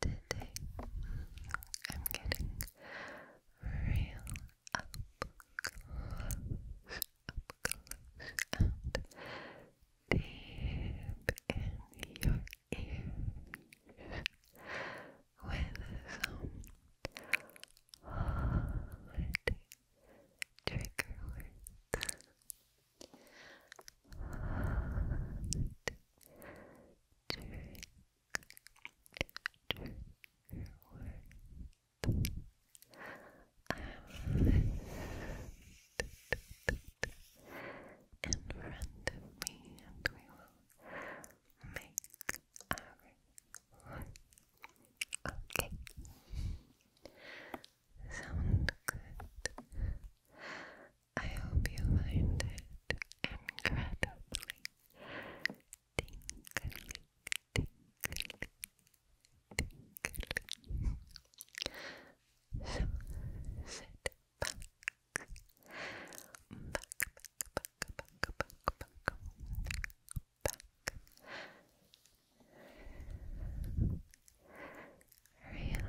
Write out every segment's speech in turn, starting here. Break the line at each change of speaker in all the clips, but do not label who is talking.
today I'm getting real up up close and deep in your ears with some holiday trigger words in front of me, and we will make our okay. Sound good. I hope you find it incredibly tingly, tingly, tingly. So sit back, back, back, back, back, back, back. Relax.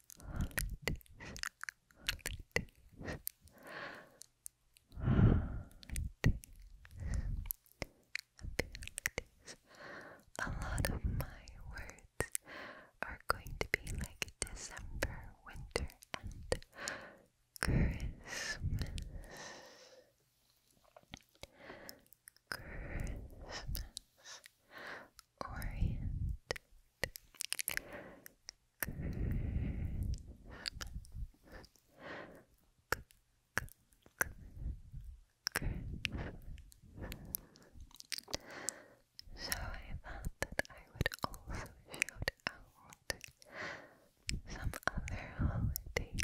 holidays, holidays, A lot of my words are going to be like December, winter, Christmas. Christmas. Orient so I thought I would also shout out some other holidays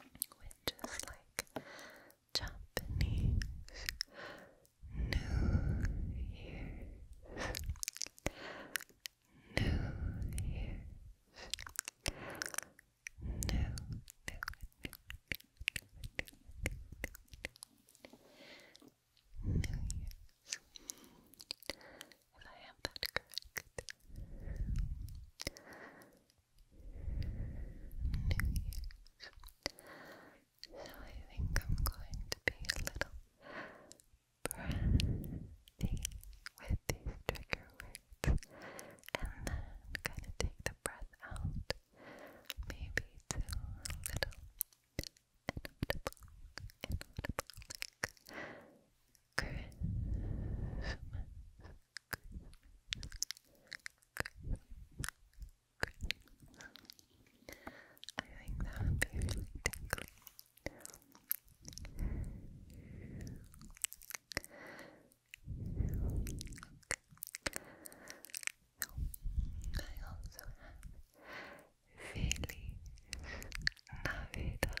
which just like Japanese New Year's. New Year's. New, new, new, new, if I have that correct. So I think I'm going to be a little breathy with these trigger words and then kind of take the breath out, maybe to a little inaudible, inaudible, like Christmas, Christmas, I think that would be really tingly. I also have Feliz Navidad.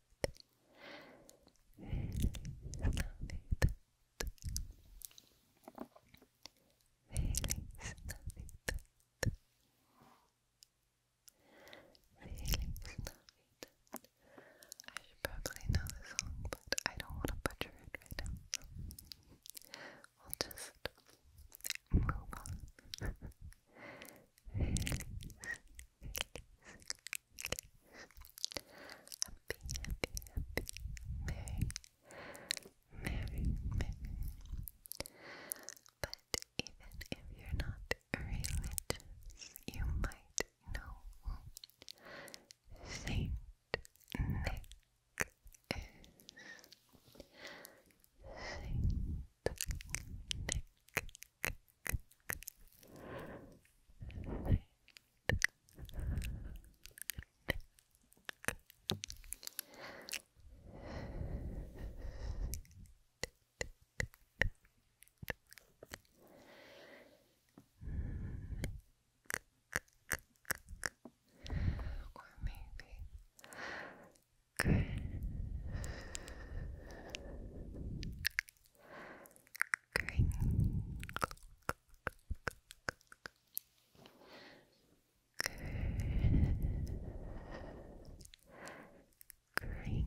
I should probably know the song, but I don't want to butcher it right now. We'll just move on happy, happy, merry, merry, merry. But even if you're not religious, you might know Saint Nick is Saint Nick or maybe Chris Green. Green. Green. Like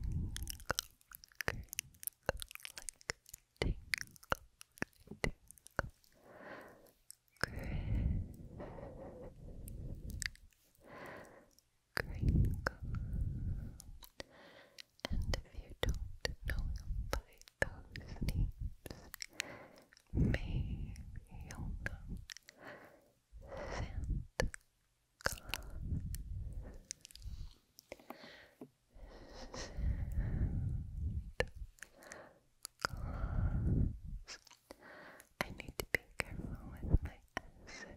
tingle, tingle. Green. Crinkle, and if you don't know by those names, maybe you'll know Santa I need to be careful with my S's.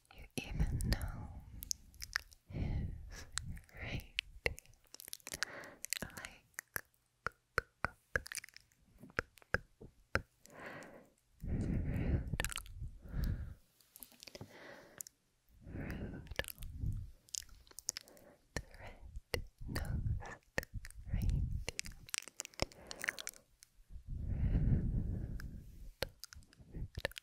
You even know his rate like Rudolph. Rudolph, red-nosed reindeer.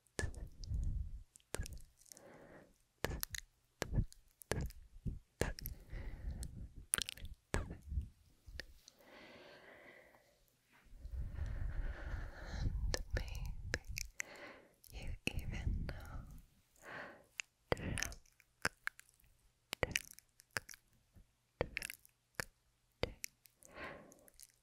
And maybe you even know truck, truck, truck,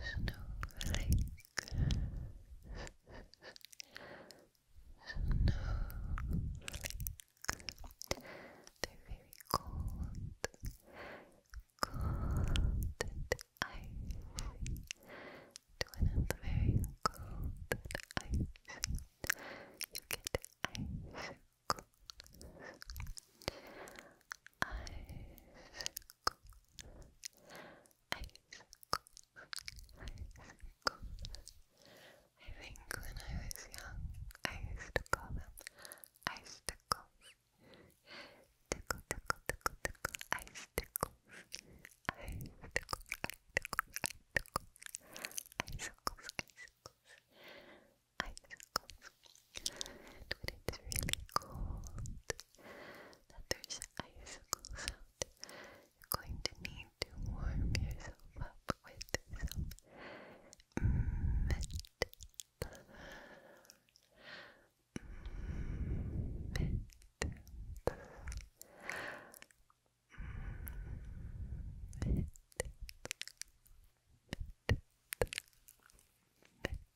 snowflake, snowflake. they very cold, cold and When it's very cold and you get icicles. Icicles. I think when I was young, I used to call them ice tickles. Tickle, tickle, tickle, tickle, ice tickles. Ice tickles, ice circles. it's really cold, that there's icicles out, you're going to need to warm yourself up with some mint. Mint. Mint. Mint. Mint. Or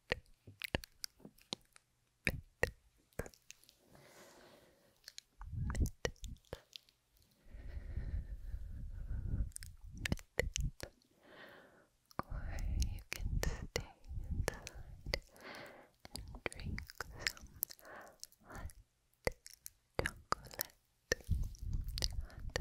you can stay inside and drink some hot chocolate. Hot chocolate.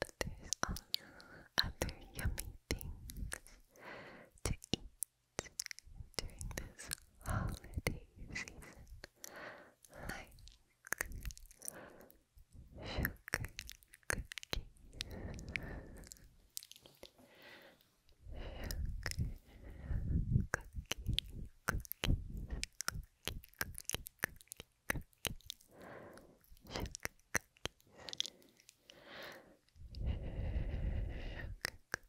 But there's also other yummy things to eat during this holiday season, like sugar cookies. Sugar, cookies, cookies, cookie, cookie, cookie, cookie. Sugar cookies. Sugar cookies.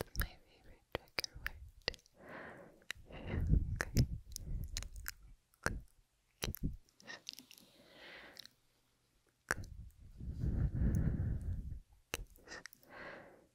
It's my favorite trigger word. Sugar cookies. Cookies. Cookies.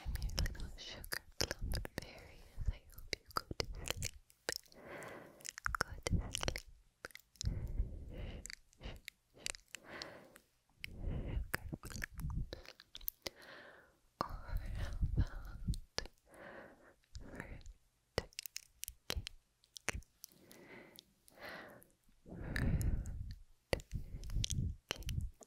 I'm your little sugar plum fairy I hope you go to sleep. Go to sleep. Sugar plums. Or about fruit cake? Fruit cake.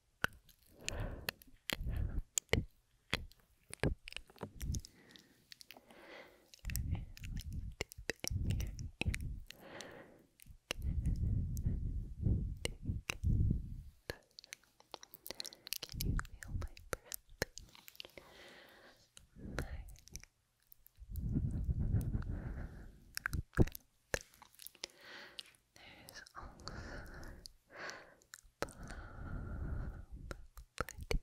Can you feel my breath? pretty, plum,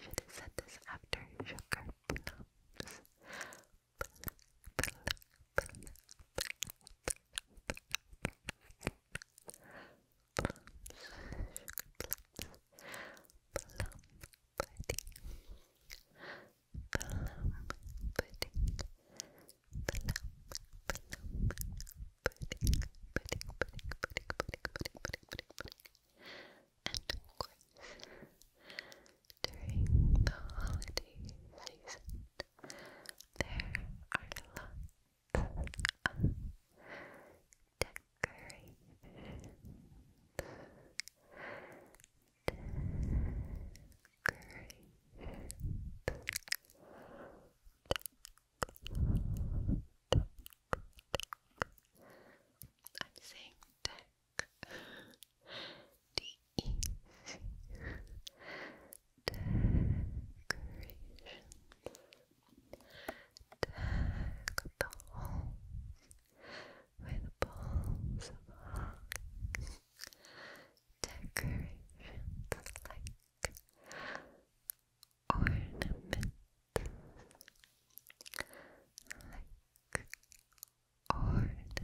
Should have said this after sugar plums. Plum, plum, plum pudding, And during the holiday season, there are lots of decorations. I'm saying deck. D-E-C. Decoration. Deck the halls with balls of holly decorations like ornaments, like ornaments,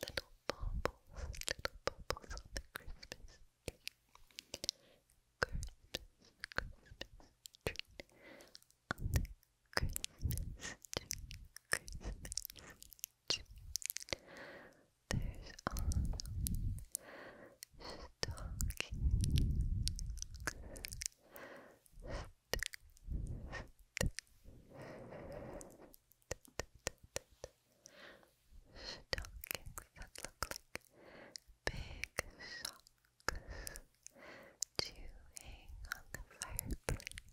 little bubbles, little bubbles on the Christmas tree, Christmas, tree on Christmas, to Christmas, There's autumn Stockings that look like big socks to hang on the fireplace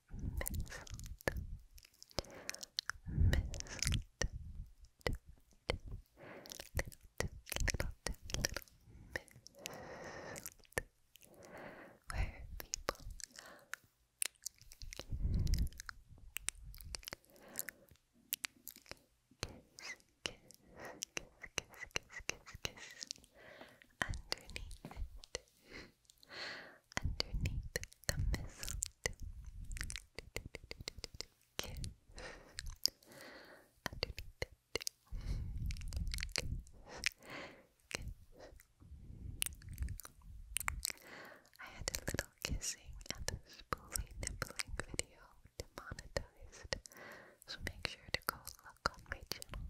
mistletoe, mistletoe, little too, little mistletoe, where people kiss, kiss, kiss, kiss, kiss, kiss, underneath underneath the mistletoe. Kiss. Underneath I had a little kissing and spoolie nibbling video demonetized, so make sure to go look on my channel,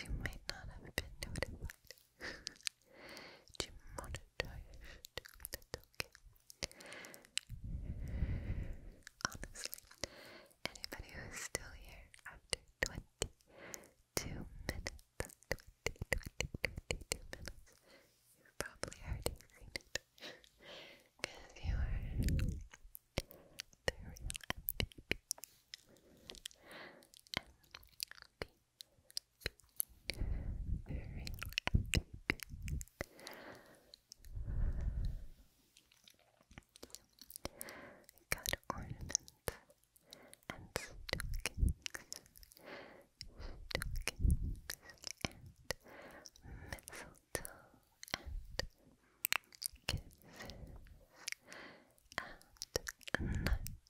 you might not have been notified. to monitor your stupid okay. Honestly, anybody who's still here after 22 minutes, 22 minutes, you probably are the real MVP. Very little got ornaments and stockings, stockings and mistletoe and kisses and nuts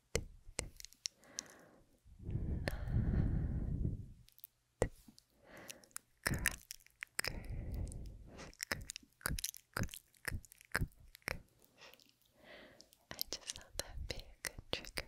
I just thought that'd be a good trigger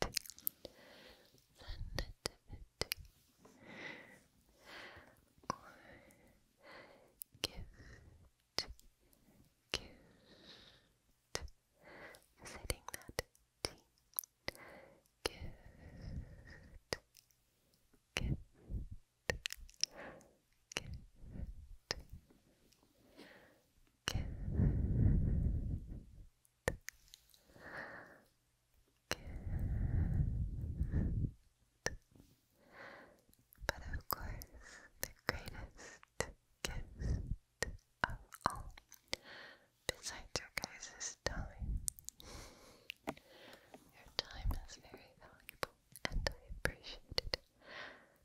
the nativity, or gift, that T, gift, gift, gift. Good. But of course, the greatest gift of all, besides your guys' time, your time is very valuable and I appreciate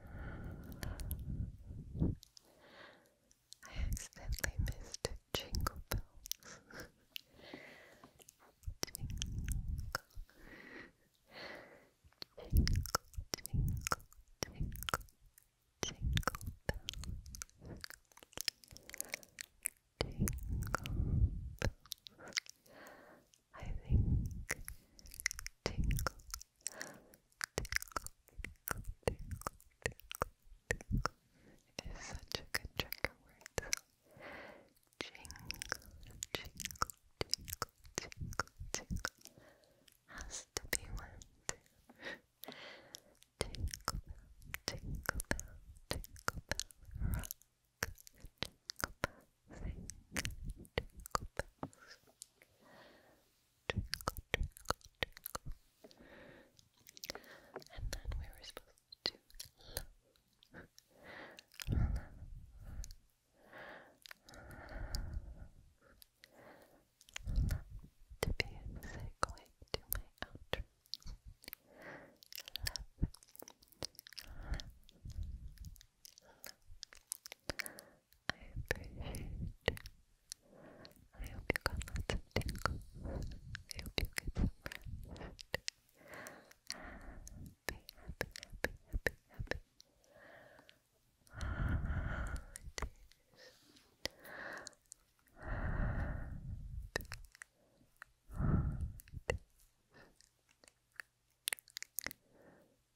I accidentally missed jingle bells. jingle, jingle, jingle, jingle, jingle bells. I think tingle, Tickle, tickle, It is such a good trigger word. Jingle, jingle, jingle, jingle, jingle. Has to be one Jingle bell, jingle bell, jingle bell, rock. Jingle bell, sing, jingle bells. Twinkle, twinkle, And then we were supposed to love. To be a to my outro. I appreciate you. I hope you got lots of tingles. I hope you get Happy, happy, happy, happy, happy.